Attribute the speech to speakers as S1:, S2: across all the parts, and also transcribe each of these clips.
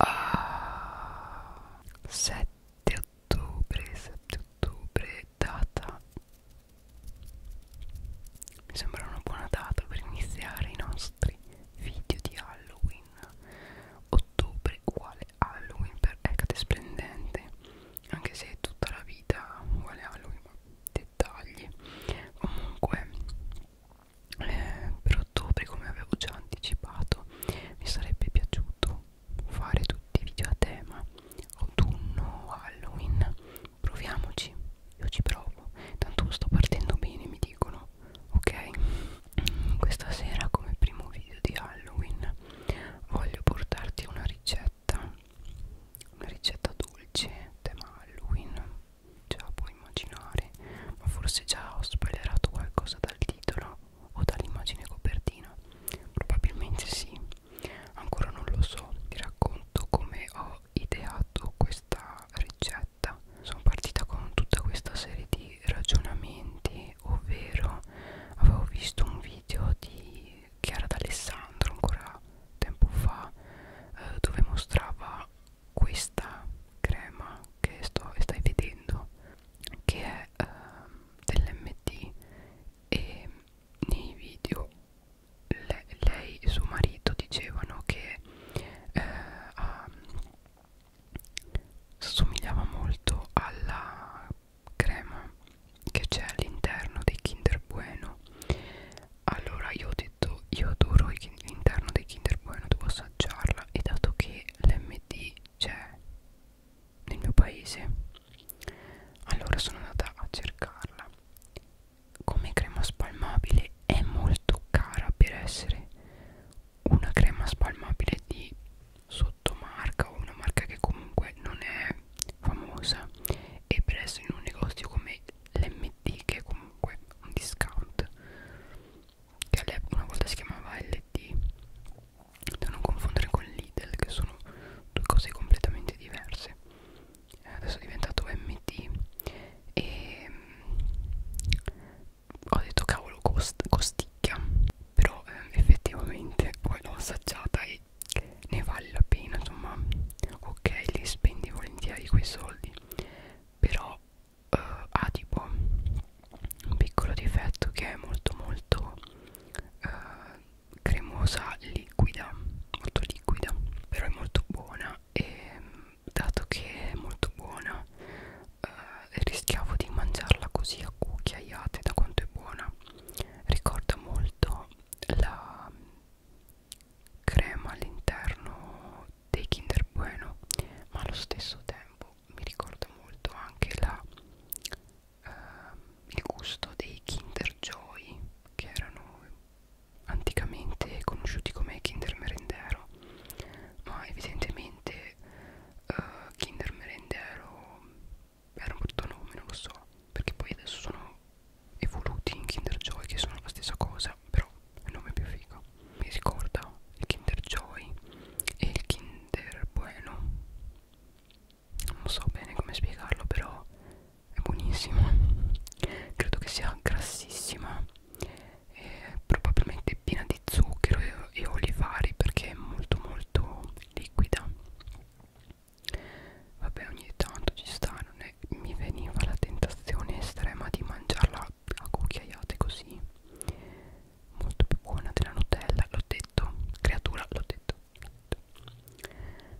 S1: a ah, 7 ottobre 7 ottobre data mi sembra una buona data per iniziare i nostri video di Halloween ottobre uguale Halloween per Hecate Splendente anche se è tutta la vita uguale Halloween ma dettagli comunque eh, per ottobre come avevo già anticipato mi sarebbe piaciuto fare tutti i video a tema autunno Halloween proviamoci io ci provo tanto sto partendo bene mi dicono ok questa sera come primo video di Halloween voglio portarti una ricetta una ricetta dolce tema Halloween già puoi immaginare, ma forse già ho spoilerato qualcosa dal titolo o dall'immagine copertina. Probabilmente sì, ancora non lo so. Ti racconto come ho ideato questa ricetta. Sono partita con tutta questa serie di ragionamenti, ovvero avevo visto un video di Chiara D'Alessandro ancora tempo fa eh, dove mostrava questa crema che sto, stai vedendo che è eh, dell'MT e nei video le, lei e suo marito dicevano che eh, ah, somigliava molto alla crema che c'è all'interno dei Kinder Bueno allora io ti detto io adoro l'interno dei Kinder Bueno, devo assaggiarla e dato che l'MD c'è nel mio paese allora sono andata a cercarla come crema spalmabile è molto cara per essere una crema spalmabile di sottomarca o una marca che comunque non è famosa e per essere in un negozio come l'MD che comunque comunque un discount che una volta si chiamava LD da non confondere con Lidl che sono due cose completamente diverse eh, adesso è diventato MT e mm, ho detto cavolo cost costicchia però eh, effettivamente poi l'ho assaggiata e ne vale la pena insomma ok li spendi volentieri quei soldi però eh, ha tipo un piccolo difetto che è molto molto eh, cremosa liquida molto liquida però è molto buona e dato che è molto buona eh, rischiavo di mangiarla così a cucchiaiate da quanto è buona ricorda molto la crema all'interno dei Kinder Bueno ma allo stesso tempo mi ricorda molto anche la, eh, il gusto dei Kinder Joy che erano anticamente conosciuti come Kinder Merendero ma evidentemente eh, Kinder Merendero era un brutto nome non lo so perché poi adesso sono evoluti in Kinder Joy che sono la stessa cosa però il nome è più figo mi ricorda il Kinder Joy e il Kinder Bueno non so bene come spiegarlo però è buonissimo credo che sia grassissima e probabilmente piena di zucchero e, e olivari perché è molto molto liquida vabbè ogni tanto ci sta non è ve mi veniva la tentazione estrema di mangiarla a cucchiaiate così molto più buona della Nutella l'ho detto creatura l'ho detto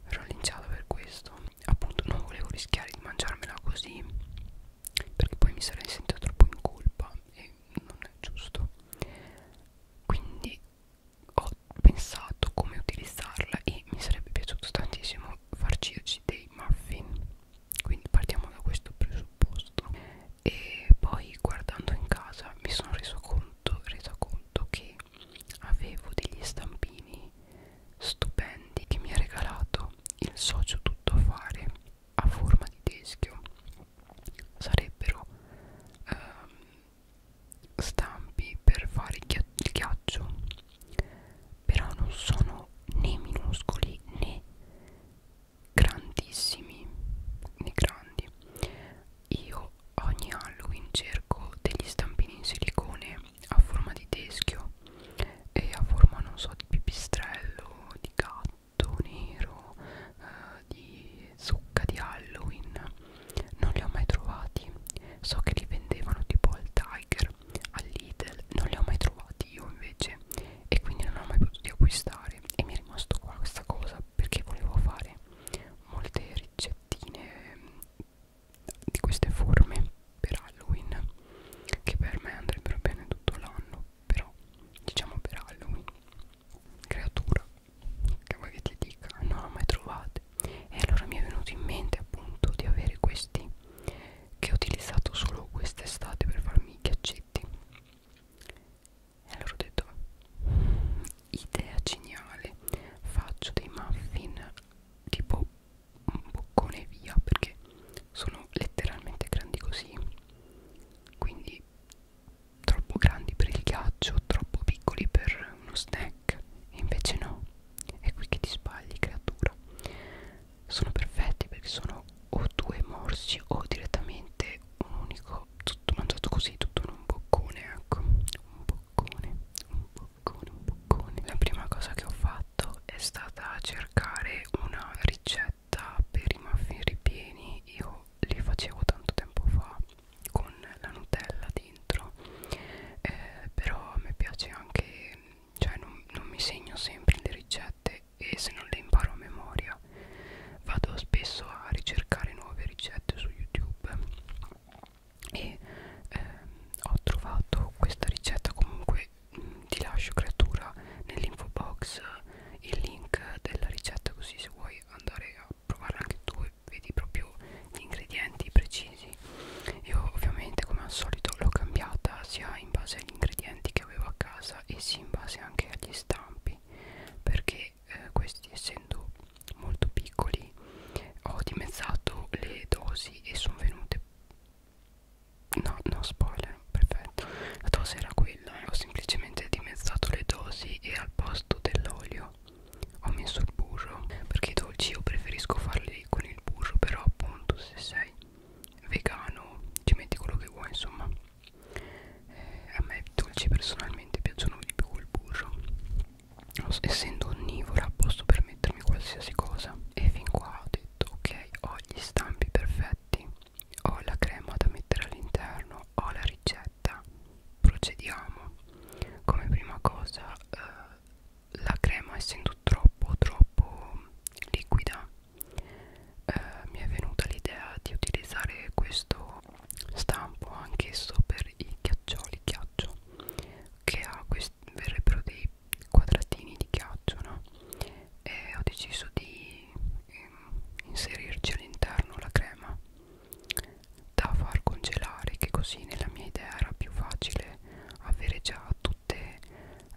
S1: ero linciata per questo appunto non volevo rischiare di mangiarmela così perché poi mi sarei sentita troppo in colpa e non è giusto quindi ho pensato come utilizzarla e mi sarebbe piaciuto tantissimo farcirci dei muffin quindi partiamo da questo presupposto e poi guardando in casa mi sono reso conto, reso conto che avevo degli stampini stupendi che mi ha regalato il socio tutto a fare a forma di teschio sarebbero ehm, stampi per fare il ghiaccio però non sono né minuscoli né grandissimi né grandi io ogni Halloween cerco degli stampini in silicone a forma di teschio e a forma non so di pipistrello di gatto nero eh, di zucca di Halloween non li ho mai trovati so che li vendevano tipo al Tiger al Lidl non li ho mai trovati io invece e quindi non ho mai potuto acquistare e mi è rimasto qua questa cosa perché volevo fare molte ricettine mm, di queste forme per Halloween che per me andrebbero bene tutto l'anno però diciamo per Halloween creatura che vuoi che ti dica non l'ho mai trovate e allora mi è venuto in mente appunto di avere questi che ho utilizzato solo quest'estate per farmi i ghiaccetti e allora ho detto idea geniale faccio dei muffin tipo un boccone via perché sono letteralmente grandi così quindi troppo grandi per il ghiaccio troppo piccoli per uno snack black e invece no è qui che ti sbagli creatura sono perfetti perché sono o due morsi o direttamente un unico tutto mangiato così tutto in un boccone ecco un boccone un boccone un boccone la prima cosa che ho fatto è stata cercare una ricetta per i muffin ripieni io li facevo tanto tempo fa con la Nutella dentro eh, però a me piace anche cioè non, non mi segno sempre le ricette e se non le imparo a memoria vado spesso a ricercare nuove ricette su youtube e eh, ho trovato questa ricetta comunque mh, mm, ti lascio creatura nell'info box il link della ricetta così se vuoi andare a provarla anche tu e vedi proprio gli ingredienti precisi io ovviamente come al solito l'ho cambiata sia in base agli ingredienti che avevo a casa e sia in base anche agli stampi perché eh, questi essendo molto piccoli ho dimezzato le dosi e sono venute no no spoiler perfetto la dose era quella eh. ho semplicemente dimezzato le dosi e al posto dell'olio ho messo il burro perché i dolci io preferisco farli con il burro però appunto se sei vegano ci metti quello che vuoi insomma eh, a me i dolci personalmente piacciono di più col burro essendo onnivora posso permettermi qualsiasi cosa e fin qua ho detto ok ho gli stampi perfetti ho la crema da mettere all'interno ho la ricetta ricetta procediamo come prima cosa eh, la crema essendo troppo troppo liquida eh, mi è venuta l'idea di utilizzare questo stampo anch'esso per i ghiaccioli ghiaccio che ha verrebbero dei quadratini di ghiaccio no? e ho deciso di ehm, inserirci all'interno la crema da far congelare che così nella mia idea era più facile avere già tutte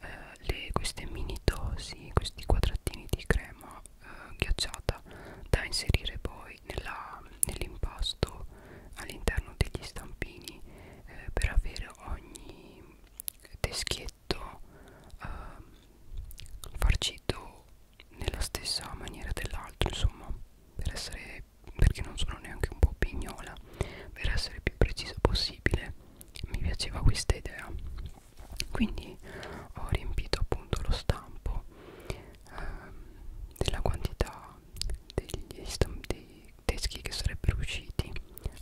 S1: eh, le, queste mini dosi questi quadratini di crema eh, ghiacciata da inserire poi nell'impasto nell all'interno degli stampini eh, per avere ogni teschietto eh, farcito nella stessa maniera dell'altro insomma per essere perché non sono neanche un po' pignola per essere più precisa possibile mi piaceva questa idea quindi ho riempito appunto lo stampo ehm, della quantità degli dei teschi che sarebbero usciti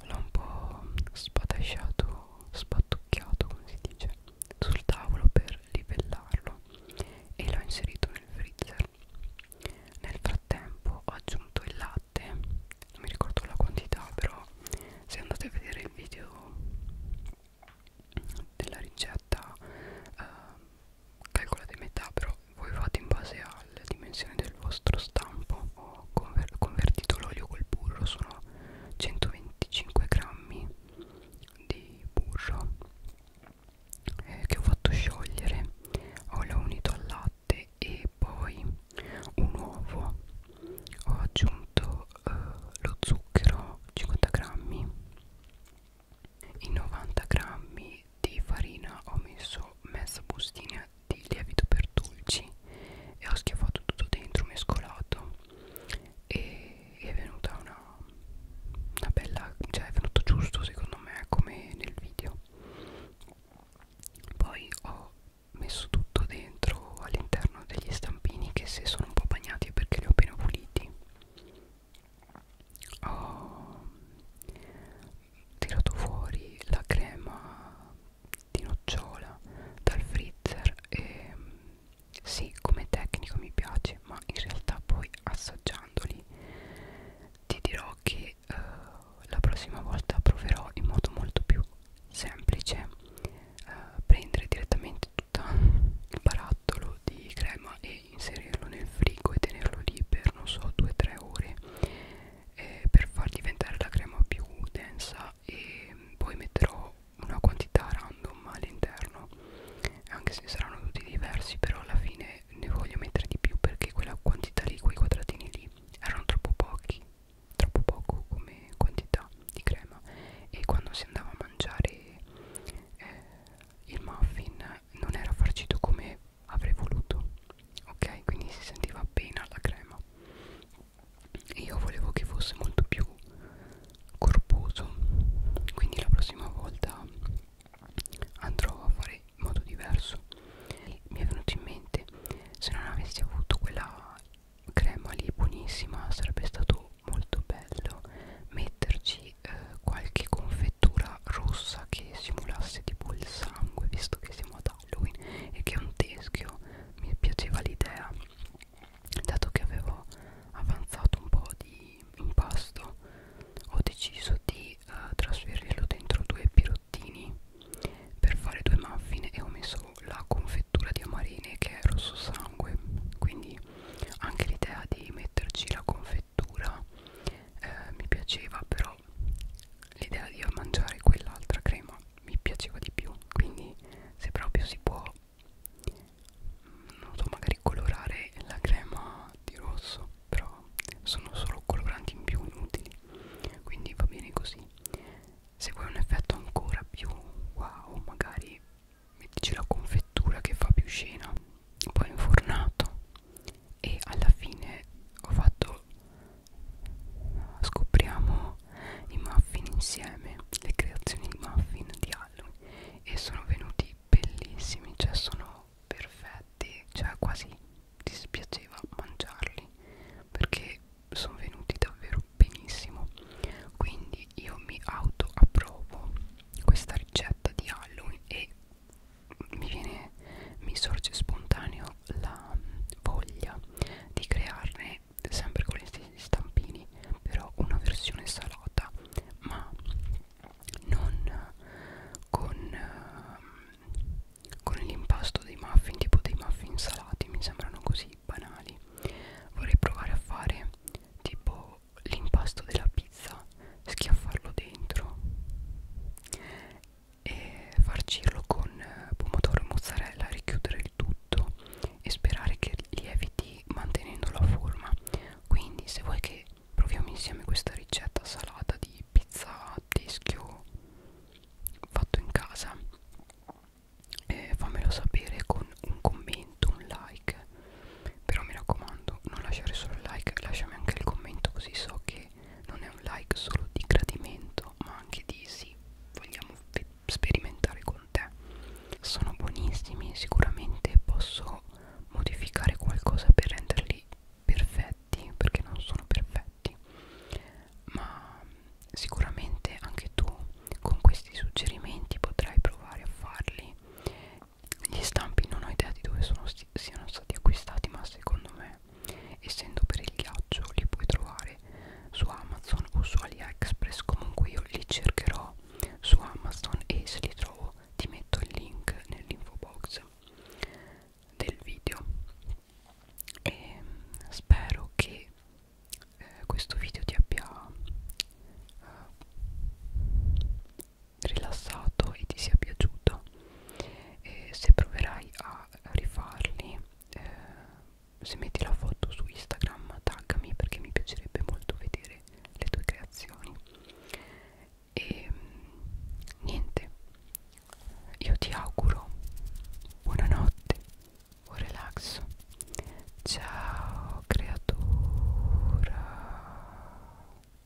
S1: l'ho un po' spatasciato spattucchiato come si dice sul tavolo per livellarlo e l'ho inserito nel freezer nel frattempo ho aggiunto il latte non mi ricordo la quantità però se andate a vedere il video della ricetta eh, calcolate metà però voi fate in base alla dimensione del vostro stampo ho conver convertito l'olio col burro sono 125 grammi di burro eh, che ho fatto sciogliere ho l'ho unito al latte e poi un uovo ho aggiunto eh, lo zucchero 50 grammi in 90 grammi di farina ho messo mezza bustina di lievito per dolci e ho schiaffato tutto dentro mescolato e è venuta una, una bella cioè è venuto giusto secondo me come nel video poi ho messo tutto dentro all'interno degli stampini che se sono un po' bagnati è perché li ho appena puliti ho tirato fuori la crema di nocciola dal freezer e sì come tecnico mi piace ma in realtà poi assaggiandoli ti dirò che eh, la prossima volta proverò in modo molto più semplice eh, prendere direttamente tutto il barattolo di crema e inserirlo nel frigo e tenerlo lì per non so 2-3 ore eh, per far diventare la crema più densa quantità e poi metterò una quantità random all'interno anche se saranno tutti diversi però alla fine ne voglio mettere di più perché quella quantità lì quei quadratini lì erano troppo pochi troppo poco come quantità di crema e quando si andava a mangiare eh, il muffin non era farcito come avrei voluto ok quindi si sentiva appena la crema io volevo che fosse molto più corposo quindi la prossima volta andrò a fare in modo diverso e mi è venuto in mente se non avessi avuto quella crema lì buonissima sarebbe stato molto bello metterci eh, qualche confettura rossa che simulasse tipo il sangue visto che siamo ad Halloween e che un teschio mi piaceva l'idea dato che avevo avanzato un po' di impasto ho deciso di uh, trasferirlo dentro due pirottini per fare due muffin e ho messo la confettura di amarine che è rosso sangue quindi anche l'idea di metterci la confettura eh, mi piaceva però l'idea di mangiare quell'altra crema mi piaceva di più quindi se proprio si può non so magari colorare la crema di rosso però sono solo coloranti in più inutili quindi va bene così se vuoi un effetto ancora più wow magari mettici la confettura che fa più scena poi ho infornato e alla fine ho fatto scopriamo i muffin insieme le creazioni di muffin di Halloween e sono venuti bellissimi cioè sono perfetti cioè quasi dispiaceva mangiarli perché sono venuti davvero benissimo quindi io mi auto approvo questa ricetta di Halloween e mi viene mi sorge spontaneo la voglia di crearne sempre con gli stessi stampini però una versione salata ma non con, con l'impasto dei muffin tipo dei muffin salati mi sembrano così banali vorrei provare a fare tipo l'impasto della pizza schiaffarlo dentro e farcirlo con eh, pomodoro e mozzarella, richiudere il tutto e sperare che lieviti mantenendo la forma. Quindi se vuoi che proviamo insieme questa ricetta salata di pizza a teschio fatto in casa, eh, fammelo sapere con un commento, un like. Però mi raccomando, non lasciare solo il like, lasciami anche il commento così so che che non è un like solo di gradimento ma anche di sì, vogliamo sperimentare con te sono buonissimi sicuramente posso modificare qualcosa per renderli perfetti perché non sono perfetti ma sicuramente anche tu con questi suggerimenti potrai provare a farli gli stampi non ho idea di dove sono siano stati acquistati ma secondo me essendo per il ghiaccio li puoi trovare su Amazon o su AliExpress comunque io li cercherò su Amazon e se li trovo ti metto il link nell'info box del video e spero che eh, questo video ti abbia eh, rilassato e ti sia piaciuto e se proverai a rifarli eh, se metti la foto su Instagram taggami perché mi piacerebbe molto vedere le tue creazioni e niente io ti auguro buonanotte buon relax ciao creatura